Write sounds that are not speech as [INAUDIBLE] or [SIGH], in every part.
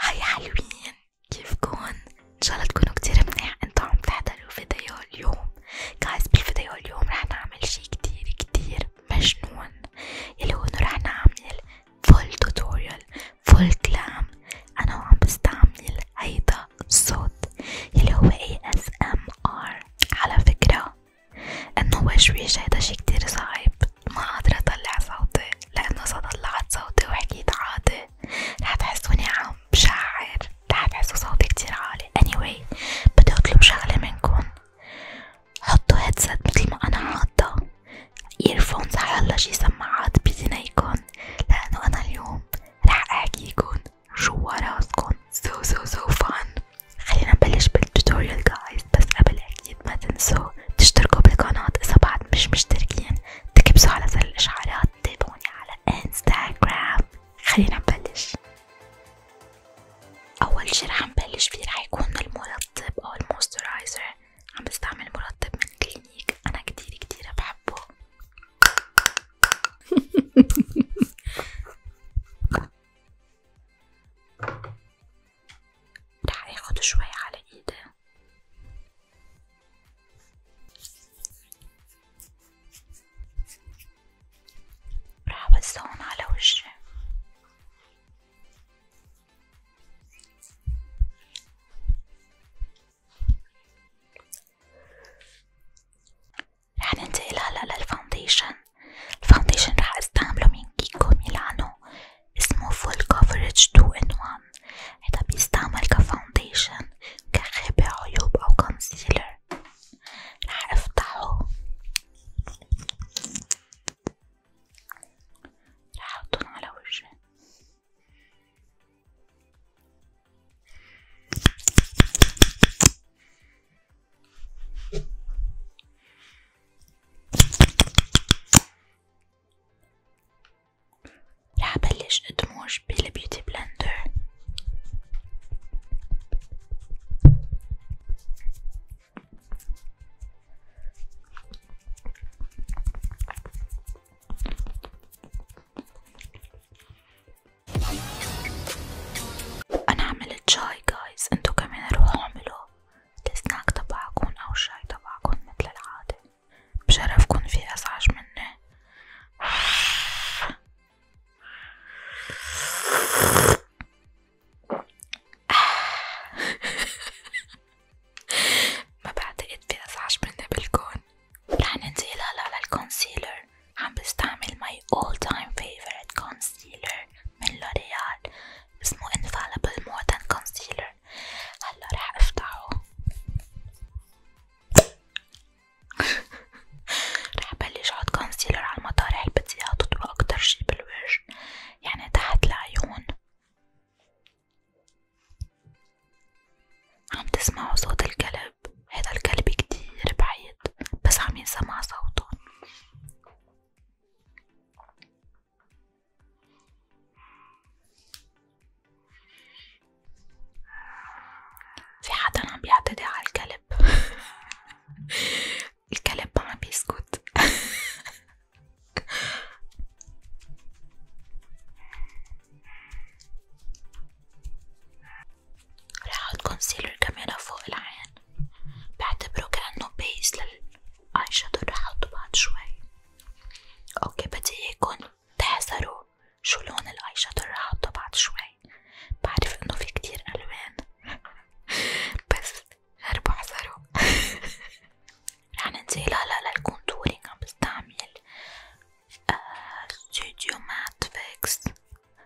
هاي حلوين كيفكن؟ ان شاء كتير منيح انتو عم تحضروا فيديو اليوم جايز بالفيديو اليوم رح نعمل شي كتير كتير مجنون يلي هو انه رح نعمل فول توتوريال فول كلام انا وعم بستعمل هيدا الصوت يلي هو ASMR على فكرة انه وشويش هيدا شي كتير صعب ما قادرة اطلع صوتي لأنه صدلعت صوتي وحكيت عاطي رح تحسوني عم بشعر رح تحسوا صوتي كتير عالي anyway بدي أطلب شغلة منكم حطوا هيدسيت متل ما أنا حاطة ايرفونز هلا شي سماعات بأذنيكن لأنه أنا اليوم رح أحكيكن جوا راسكن so so so fun خلينا نبلش بالتوتوريال جايز بس قبل أكيد ما تنسوا تشتركوا بالقناة إذا بعد مش مشتركين تكبسوا على زر الإشعارات تابعوني على انستغرام خلينا نبلش أول شي رح نبلش فيه رح يكون المرطب أو الموسترايزر عم بستعمل مرطب من كلينيك أنا كتير كتير بحبه [LAUGHS] رح اخد شوي على ايدي رح وزعهم على وجهي رح ننتقل هلا للفاونديشن الفاونديشن رح استعمله من كيكو ميلانو اسمه Full Coverage 2 in 1 هيدا بيستعمل كفاونديشن كخبة عيوب أو كونسيلر رح افتحه رح احطهم على وجهي راح أبلش أدمج بالبيوتي بلندر أنا عملت شاي جايز انتو كمان روحوا اعملوه السناك تبعكن أو الشاي تبعكن متل العادة بشرفكن في أزعج مني [LAUGHS] ما بعتقد في أزعج مني بالكون رح ننتقل هلا للكونسيلر عم بستعمل my all time favorite concealer من لوريال اسمه Infallible Modern Concealer هلا رح افتحه [LAUGHS] رح بلش احط كونسيلر على المطارح اللي بدي اياه تطلع اكتر شي بالوجه يعني تحت العيون عم تسمعوا صوت الكلب هذا الكلب كتير بعيد بس عم ينسمع صوته في حدا عم بيعتدي على الكلب [LAUGHS] الكلب ما عم بيسكت [LAUGHS] راح احط كونسيلر كاميرا فوق العين بعتبره كأنه بيس للاي شادو رح أحطه بعد شوي اوكي بدي اياكم تحذروا شو لون الاي شادو رح أحطه بعد شوي بعرف انه في كتير الوان [LAUGHS] بس غربوا احذروا [LAUGHS] رح ننتقل هلا للكونتورينج عم بستعمل آه ستوديو مات فيكس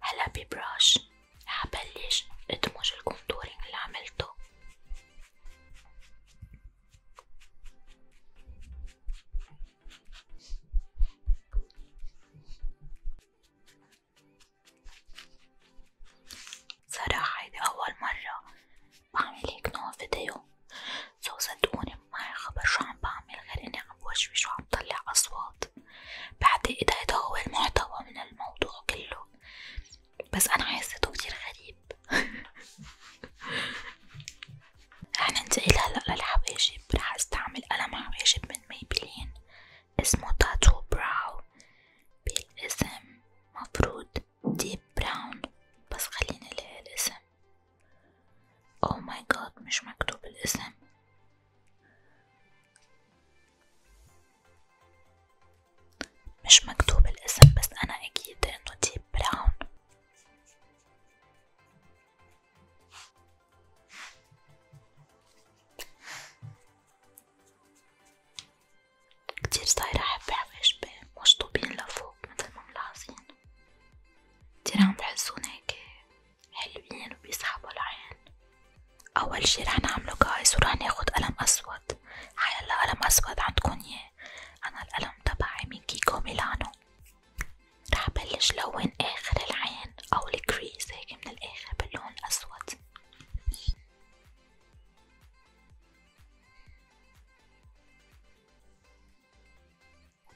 هلا ببراش حبلش ادمج الكونتورينج اللي عملته صراحة هيدي أول مرة بعمل هيك نوع فيديو سو صدقوني معي خبر شو عم بعمل غير إني عم بوشوش وعم طلع أصوات بعتقد هيدا هو المحتوى من الموضوع كله بس أنا حسيته كتير غريب [LAUGHS] رح ننتقل هلا للحباشب رح استعمل قلم حباشب من ميبلين اسمه تاتو براو بالاسم مفروض ديب براون بس خليني الاقي الاسم او ماي جاد مش مكتوب الاسم مش مكتوب الاسم بس انا اكيد انه ديب براون كتير صايرة حبة حواجبي مش طوبين لفوق مثل ما ملاحظين كتير عم تحسون هيك حلوين وبيسحبوا العين أول شي رح نعمله جايز ورح ناخد قلم أسود حيلا قلم أسود عندكن ياه أنا القلم تبعي من كيكو ميلانو رح بلش لون آخر العين أو الكريز هيك من الآخر باللون الأسود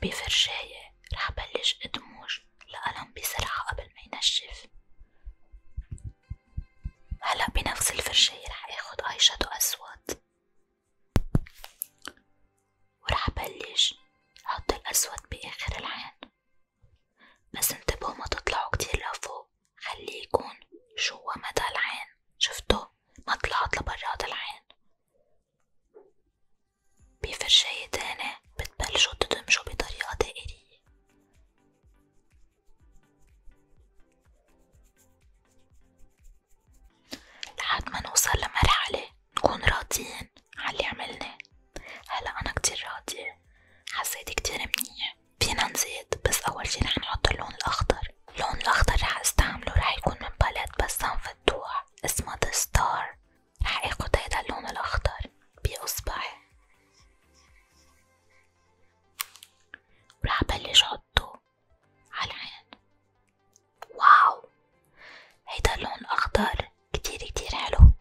بفرشاية رح بلش ادمج القلم بسرعة قبل ما ينشف هلا بنفس الفرشاية رح اخد اي شادو اسود ورح بلش احط الاسود باخر العين بس انتبهوا ما تطلعوا كتير لفوق خليه يكون جوا مدى العين شفتوا ما طلعت لبرات العين بفرشاية تاني بتبلشوا تدمجوا بطريقة دائرية لحد ما نوصل لمرحلة نكون راضيين عاللي عملناه هلا انا كتير راضية حسيت كتير منيح فينا نزيد بس اول شي رح نحط اللون الاخضر اللون الاخضر رح استعمله رح يكون من باليت بسام فتوح اسمه ذا ستار رح اخد هيدا اللون الاخضر باصبعي ورح بلش حطه عالعين واو هيدا اللون الاخضر كتير كتير حلو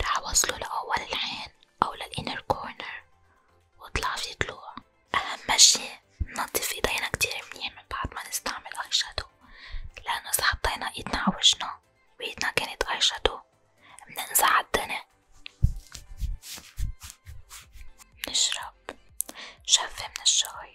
راح أوصله لأول العين أو للإنر كورنر وطلع في طلوع أهم شي ننضف إيدينا كتير منيح من بعد ما نستعمل آي شادو لأنه إذا حطينا إيدنا على وجهنا وإيدنا كانت آي شادو بننزع عالدنيا بنشرب شفة من الشاي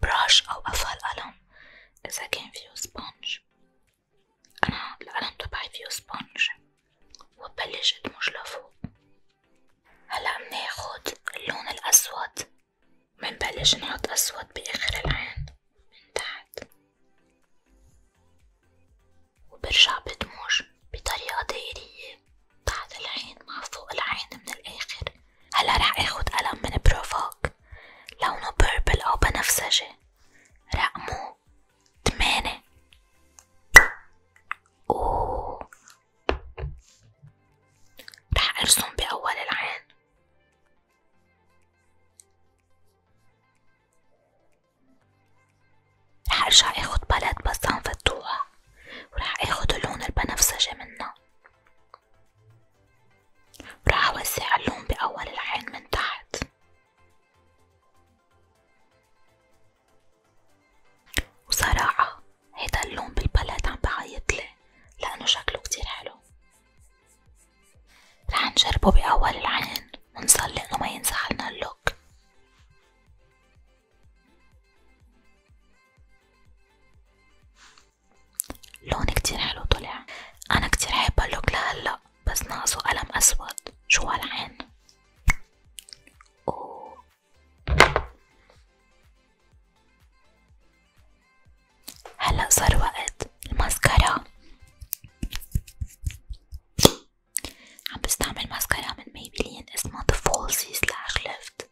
براش أو أفها القلم إذا كان فيه سبونج أنا القلم تبعي فيه سبونج وببلش أدمج لفوق هلا مناخد اللون الأسود منبلش نحط أسود بآخر العين من تحت وبرجع بدمج بطريقة دائرية بعد العين مع فوق العين من الآخر هلا رح اخد قلم من بروفوك لونه بيربل أو بنفسجي رقمه تمانية أوه رح ارسم بأول العين رح ارجع اخد بلد بس عم فتوها ورح اخد اللون البنفسجي منها راح أوزع اللون بأول العين من تحت وصراحة هيدا اللون بالبلد عم بعيطلي لأنه شكله كتير حلو رح نجربه بأول العين ونصلي إنه ما ينزعلنا اللوك لون كتير حلو طلع انا كتير حابة اللوك لهلا بس ناقصه قلم اسود جوا العين أوه. هلا صار وقت الماسكارا عم بستعمل ماسكارا من ميبلين اسمها The Falsies Lash Lift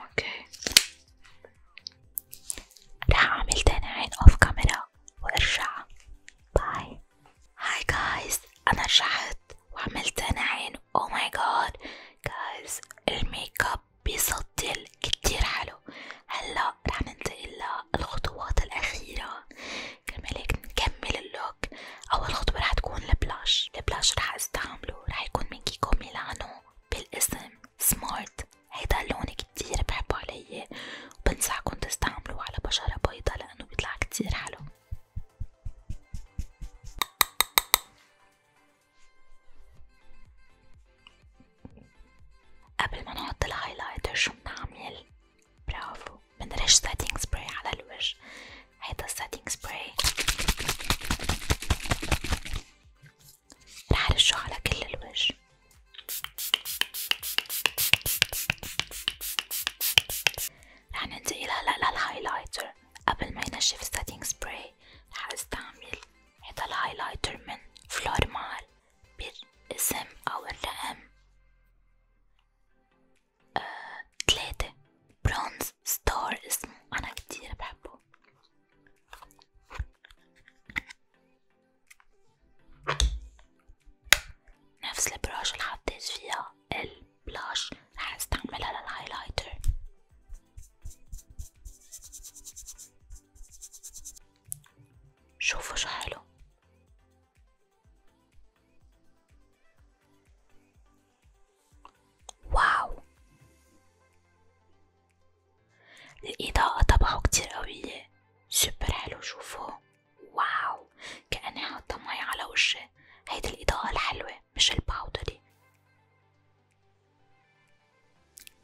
اوكي رح اعمل تاني عين اوف كاميرا وارجع باي هاي جايز انا رجعت وعملت تاني عين او oh ماي جاد جايز الميك اب بيسطل كتير حلو هلا رح ننتقل للخطوات الاخيرة كرمال هيك نكمل اللوك اول خطوه رح تكون البلاش البلاش رح استعمله رح يكون من كيكو ميلانو بالاسم سمارت هيدا اللون كتير بحبه علي وبنصحكن تستعملوه على بشرة بيضة لأنه بيطلع كتير حلو قبل ما نحط الهايلايتر شو بنعمل برافو بنرش ساتينج سبراي على الوجه هيدا الساتينج سبراي رح رشه على كل الوجه رح ننتقل هلا للهايلايتر قبل ما ينشف الساتينج سبراي رح استعمل هيدا الهايلايتر من فلور مال بالاسم أو الرقم آه، تلاتة برونز ستار اسمه أنا كتير بحبه نفس البراش اللي حطيت فيها البلاش رح استعملها للهايلايتر شوفوا شو حلو الإضاءة طبعه كتير قوية سوبر حلو شوفوا واو كأني حاطة مي على وشي هيدي الإضاءة الحلوة مش الباودري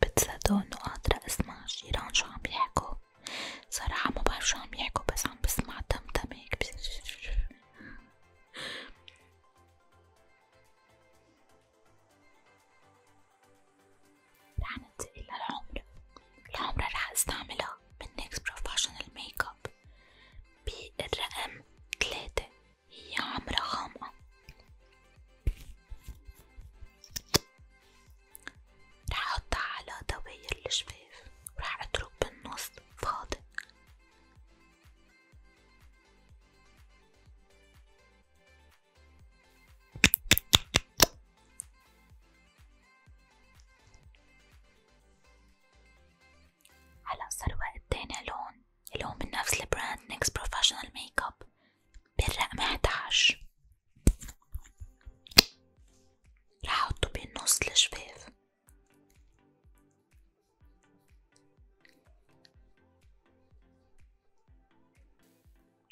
بتصدقوا إنه قادرة أسمع الجيران شو عم يحكوا صراحة ما بعرف شو عم يحكوا بس عم بسمع تمتم نعمل هيك رح ننتقل للعمرة، العمرة رح استعملها من NYX Professional Makeup بالرقم تلاتة هي عمرة غامقة رح أحطها على دواير الجفاف ورح أترك بالنص فاضي هلا صار وقت تاني لون اللون من نفس البراند نيكس بروفيشنال ميك اب بالرقم 11 رح أحطه بالنص الجفاف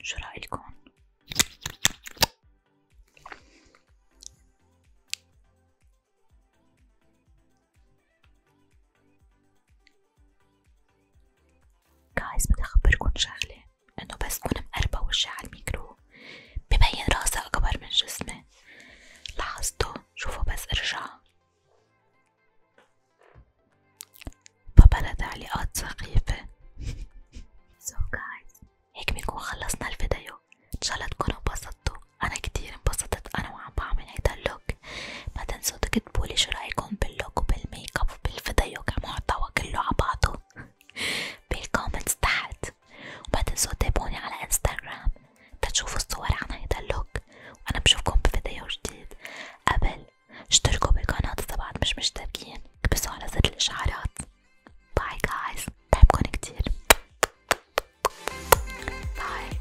شو رأيكم؟ جايز بدي أخبركن شغلة انه بس كون مقربة وجهي عالميكرو ببين راسي اكبر من جسمي لاحظتو شوفوا بس ارجع فبلا تعليقات سخيفة [LAUGHS] so guys هيك بنكون خلصنا الفيديو ان شاء الله تكونوا انبسطتوا انا كتير انبسطت انا وعم بعمل هيدا اللوك ما تنسوا تكتبولي شو رايكم باللوك وبالميك اب وبالفيديو كمحتوى كله على بعضه [LAUGHS] بالكومنتس تحت وما تنسوا تتابعوني على انستغرام تشوفوا الصور عن هيدا اللوك وانا بشوفكم بفيديو جديد قبل اشتركوا بالقناة اذا بعد مش مشتركين كبسوا على زر الاشعارات باي جايز بحبكن كتير باي